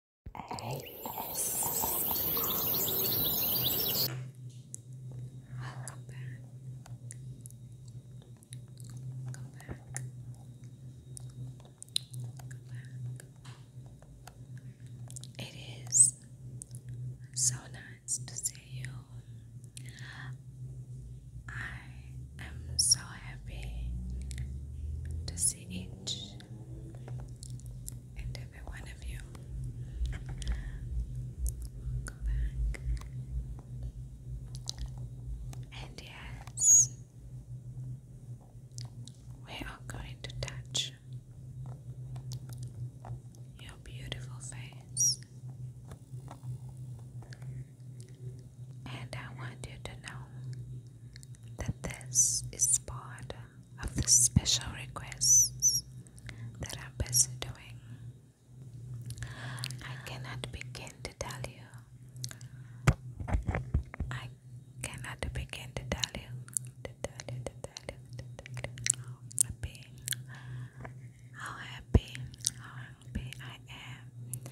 Welcome back. Welcome back. Welcome back. It is so nice to see you. I am so happy to see each and every one of you. Welcome back. And yes, we are going to touch your beautiful face. And I want you to know that this is part of the special requests that I'm busy doing. I cannot begin to tell you. I cannot begin to tell you. To tell you, to tell you, to tell you how happy, how happy, how happy I am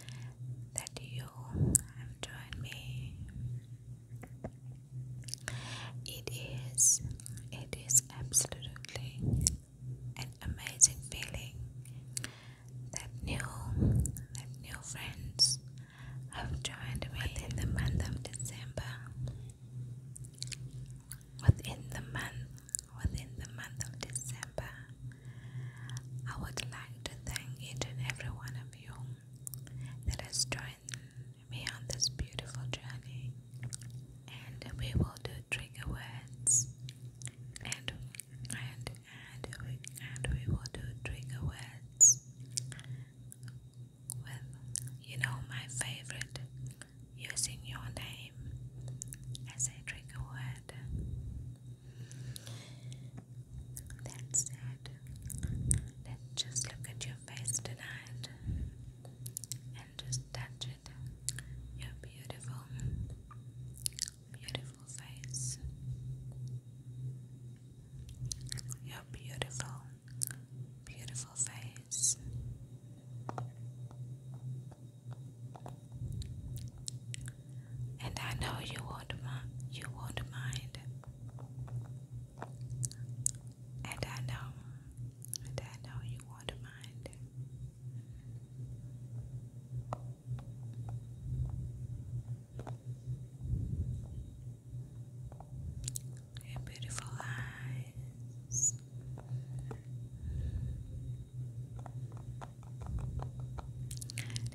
that you have joined me it is, it is absolutely an amazing feeling that new, that new friends have joined me within the month of December. Within the month, within the month of December, I would like to thank each and every one of you that has joined me on this beautiful journey. And we will do trigger words. And and and and we will do trigger words. Well, you know my favorite using your name as a trigger word. That's it. Let's just look at your face tonight and just touch it. Your beautiful, beautiful face. Your beautiful, beautiful face. And I know you won't, you won't mind and I know, and I know you won't mind. Your beautiful eyes.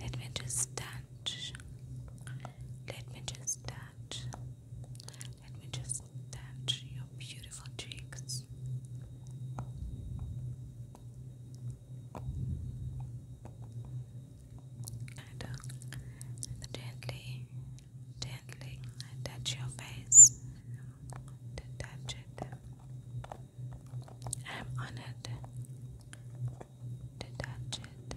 Let me just let me just touch. Let me just touch your beautiful cheeks. And, uh, gently, gently touch your face. To it. I'm honored to touch it.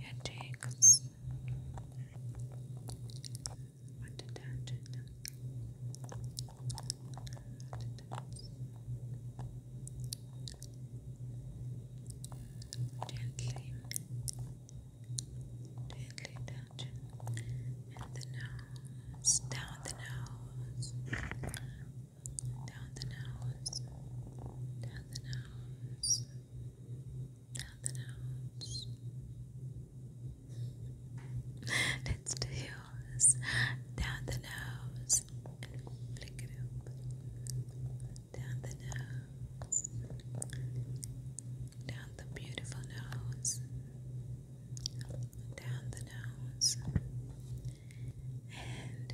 Your cheeks want to it. Gently, Gently touch and the nose, down the nose, down the nose, down the nose, down the nose. Let's do yours. Down the nose down the nose, down the beautiful nose, down the nose, and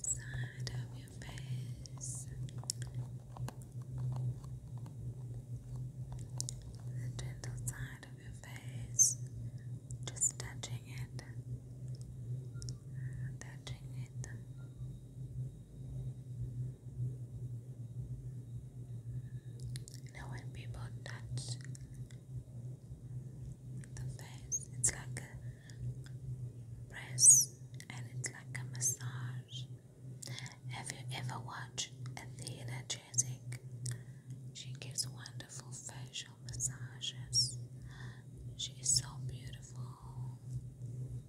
side of your face, the gentle side of your face, just touching it, touching it. Now, when people touch the face, it's like a press and it's like a massage. Have you ever watched Athena Jessic? She gives wonderful facial massages. She is so beautiful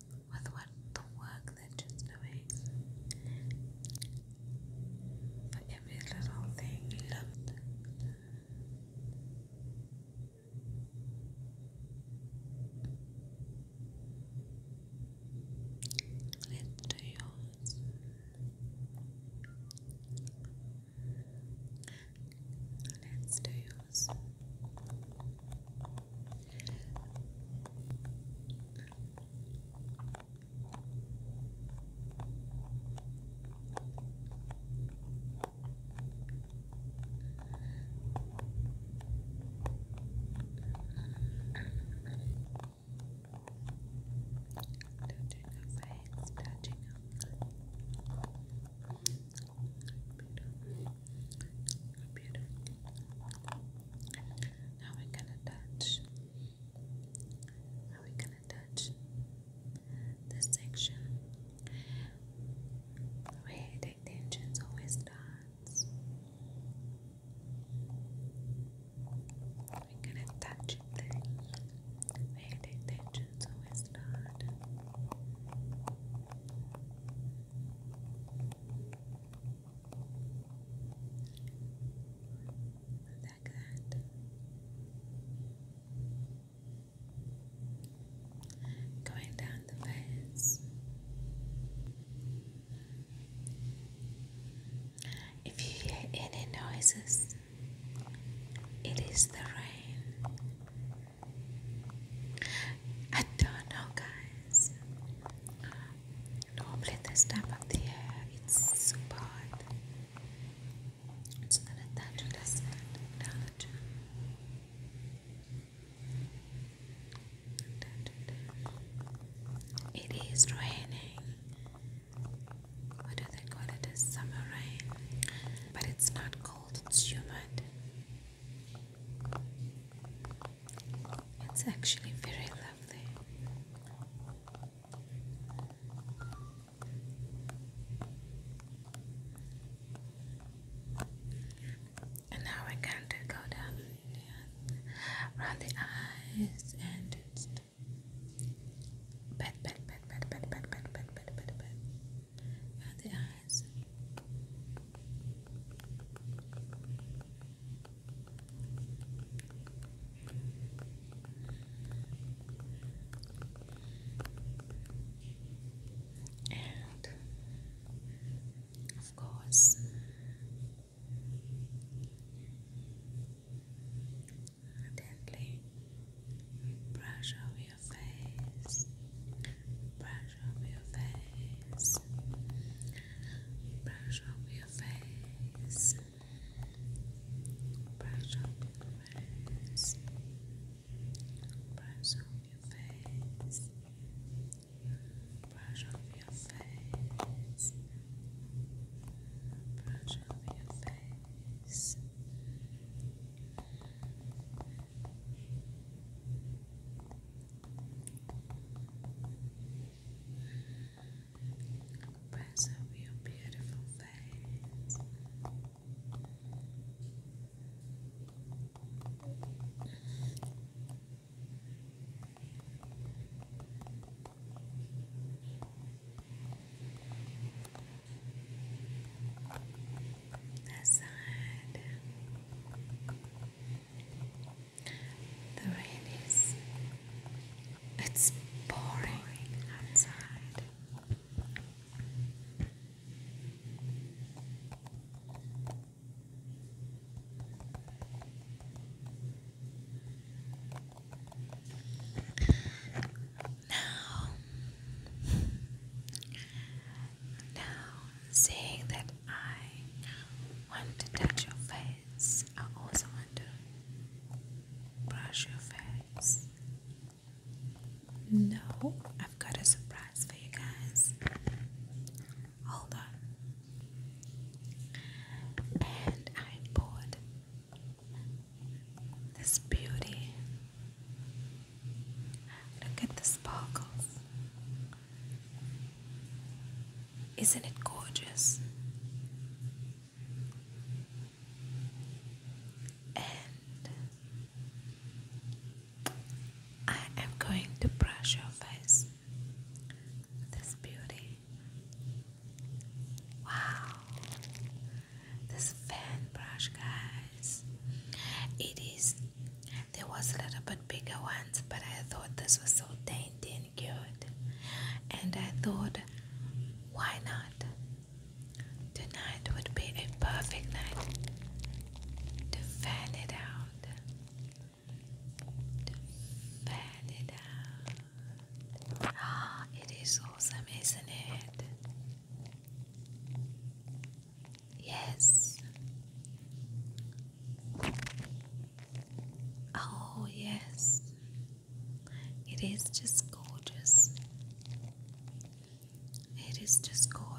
with what the work they're just doing. For every little thing, Let's do yours. Let's do yours. Touching her face, touching her face computer. Now we gonna touch. Now we gonna touch this section where the tensions always starts. we gonna touch it there. Where the always start. Like that. Going down the face. If you hear any noises, it is the rain I don't know, guys. Normally, this time of the year it's super hot. It's not a tattoo, that's it. It is raining. What do they call it? It's summer rain. But it's not cold, it's humid. It's actually very lovely. And now we're going to go down around the eyes and just pet, pet, pet, pet, pet, pet, pet, pet, pet, pet, pet, around the eyes. And of course, gently brush over your your face, Brush off your face. Brush off your face. Brush off your face. Brush off your face. Brush off your face. Brush off your face. Brush off your face. Press up your beautiful face that The rain is it's pouring outside. Now now, saying that I want to touch your face, I also want to brush your face. No, I've got a surprise for you guys. Hold on. And I bought this beauty Look at the sparkles. Isn't it gorgeous? And I am going to brush your face this beauty. Wow, this fan brush, guys, it is there was a little bit bigger ones, but I thought this was so dainty and cute. And I thought, why not? Tonight would be a perfect night to fan it out. fan it out. Ah, it is awesome, isn't it? Yes. Oh, yes. It is just gorgeous. It is just gorgeous.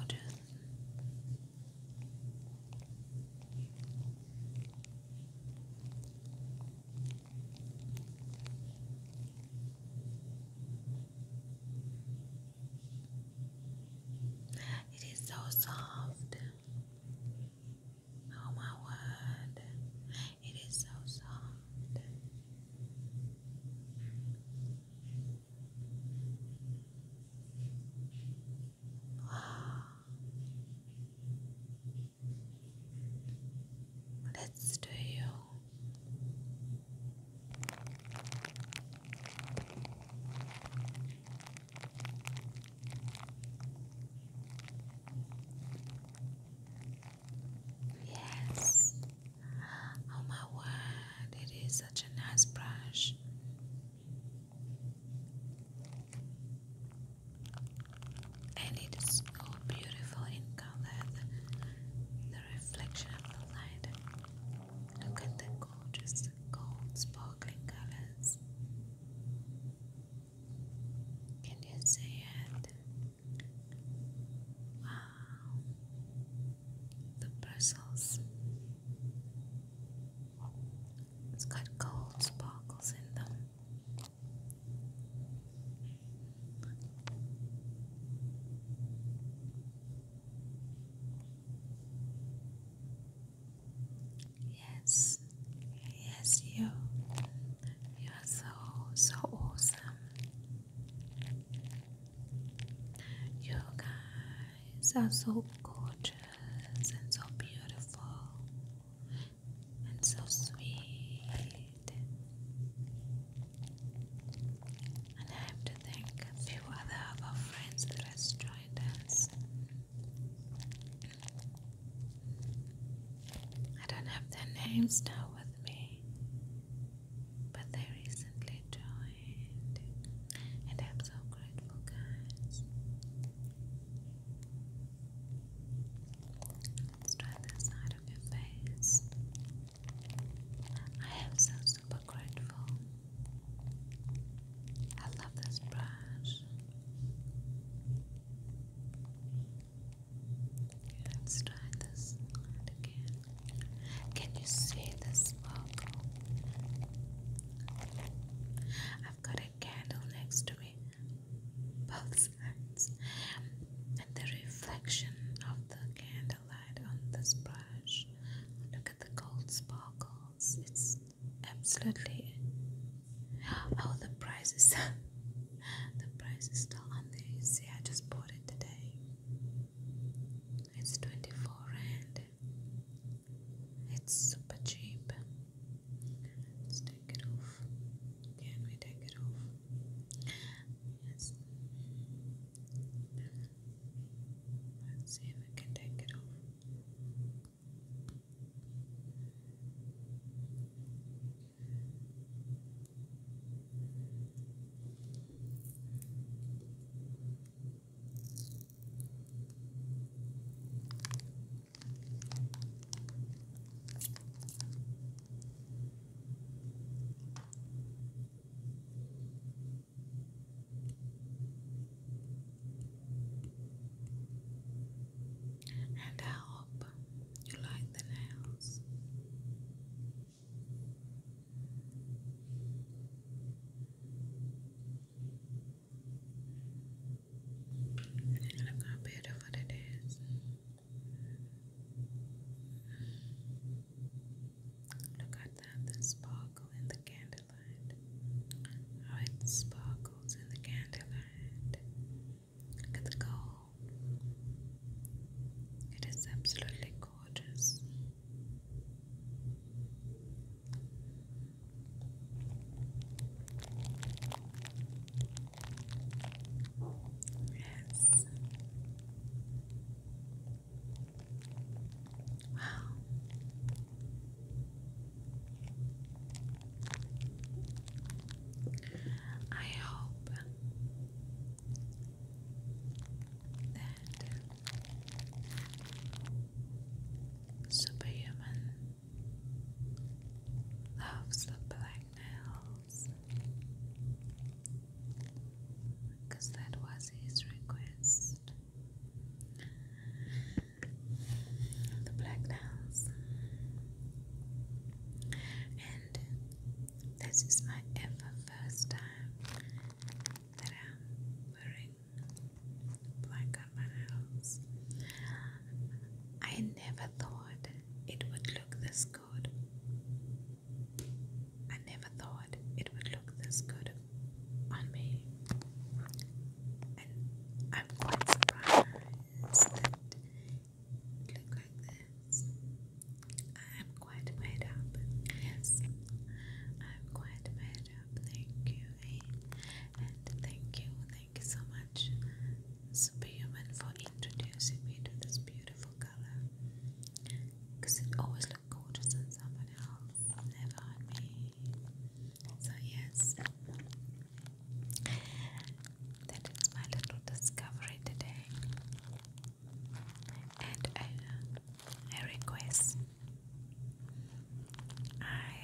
It is so soft. Oh my word. It is so soft. Wow. Let's do you. Yes. Oh my word, it is such a nice brush. And it is so beautiful in color, the, reflection of the light. Look at the gorgeous gold sparkling colors. Can you see it? Wow, the bristles. It's got gold sparkles in them. Yes, yes, you. You are so, so awesome. You guys are so gorgeous and so beautiful and so sweet. And I have to thank a few other of our friends that has joined us. I don't have their names now with me, but they recently joined, and I'm so grateful, guys. Let's try this side of your face. I am so super grateful. I love this brush. Let's try this again. Can you see the smoke? I've got a candle next to me, both sides, and the reflection of the candle highlight on this brush. Look at the gold sparkles. It's absolutely. Oh, the price is the price is still on there. see, I just bought it today. It's twenty four rand. It's super cheap. Let's take it off. Can we take it off? Yes. Let's see if we can take it off. And I hope you like the nails. Look how beautiful it is. Look at that, the sparkle in the candlelight. How oh, it sparkles in the candlelight. Look at the gold. It is absolutely gorgeous. Yes. I hope that Superhuman loves the black blackmail because that was his request. The black nails, and this is my ever first time that I'm wearing black on my nails. I never thought it would look this good I never thought it would look this good on me. And I'm quite surprised that it looked like this. I'm quite made up. Yes, I'm quite made up. Thank you, and thank you, thank you so much, Superhuman, for introducing me to this beautiful color because it always looked gorgeous on someone else, never on me. So, yes, that is my little discovery today. And I, request I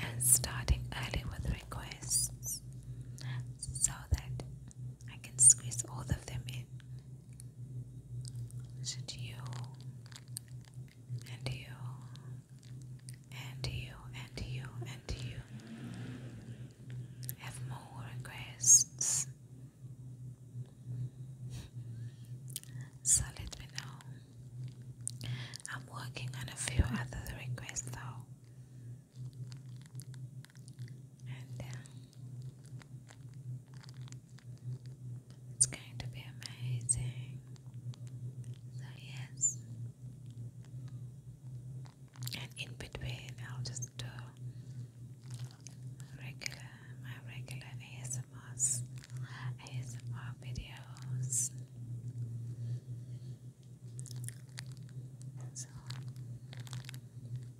am starting early with requests so that I can squeeze all of them in. Should you and you and you and you and you have more requests? so let me know. I'm working on a few other requests though and down. Uh, it's going to be amazing. So, yes. And in between, I'll just do regular, my regular ASMRs, ASMR videos. So,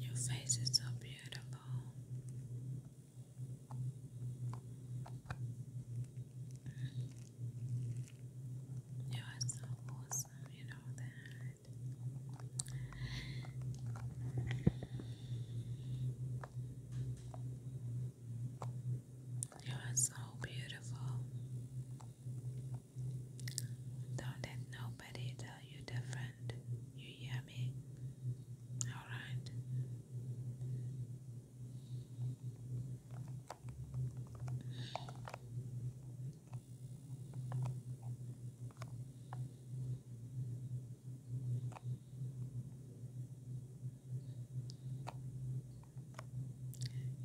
Your face is so beautiful. You are so awesome, you know that. You are so beautiful. Don't let nobody tell you different. You hear me? Alright.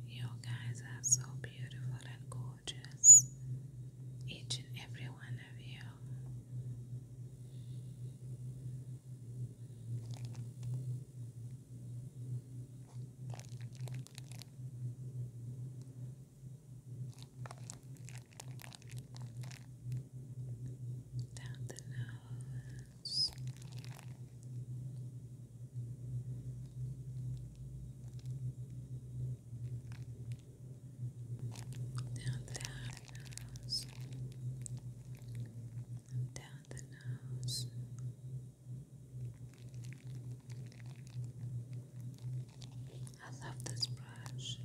You guys are so beautiful and gorgeous, each and every one of you. Down the nose else. Down the nose. Down the nose. I love this brush.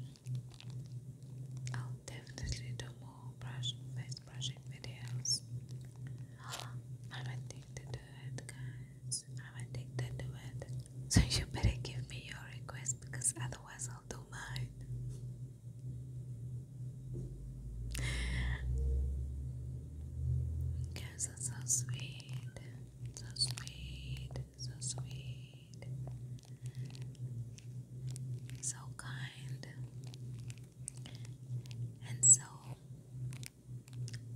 I'll definitely do more brush face brushing videos. I'm addicted to it, guys. I'm addicted to it. So you better give me your request because otherwise I'll do mine. Guys are so sweet. So sweet. So sweet. So kind and so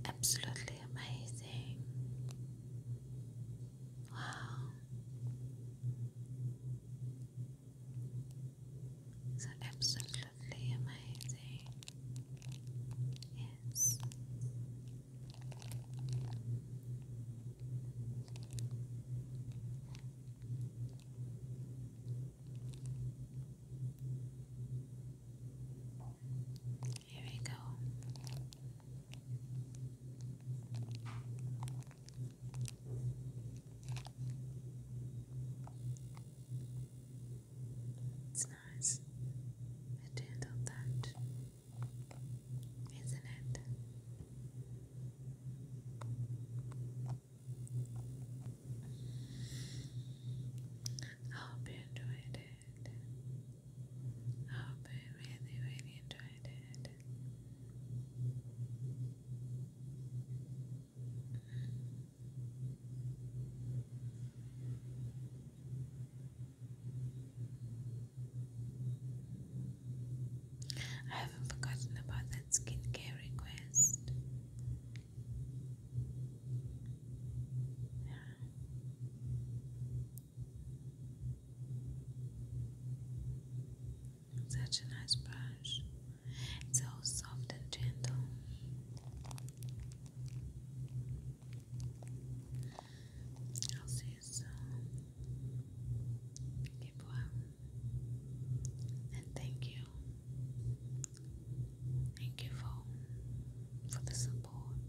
absolutely amazing. Wow. So absolutely amazing. Yes. Here we go. It's nice. A gentle touch, not it? I hope you enjoyed it. I hope you really, really enjoyed it. I haven't forgotten about that skincare request. Such a nice brush. It's so soft and gentle. I'll see you soon. And thank you. Thank you for for the support.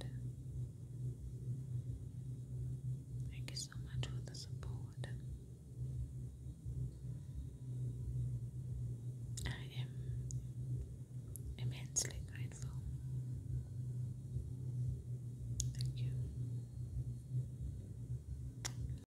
Thank you so much for the support. I am immensely grateful. Thank you.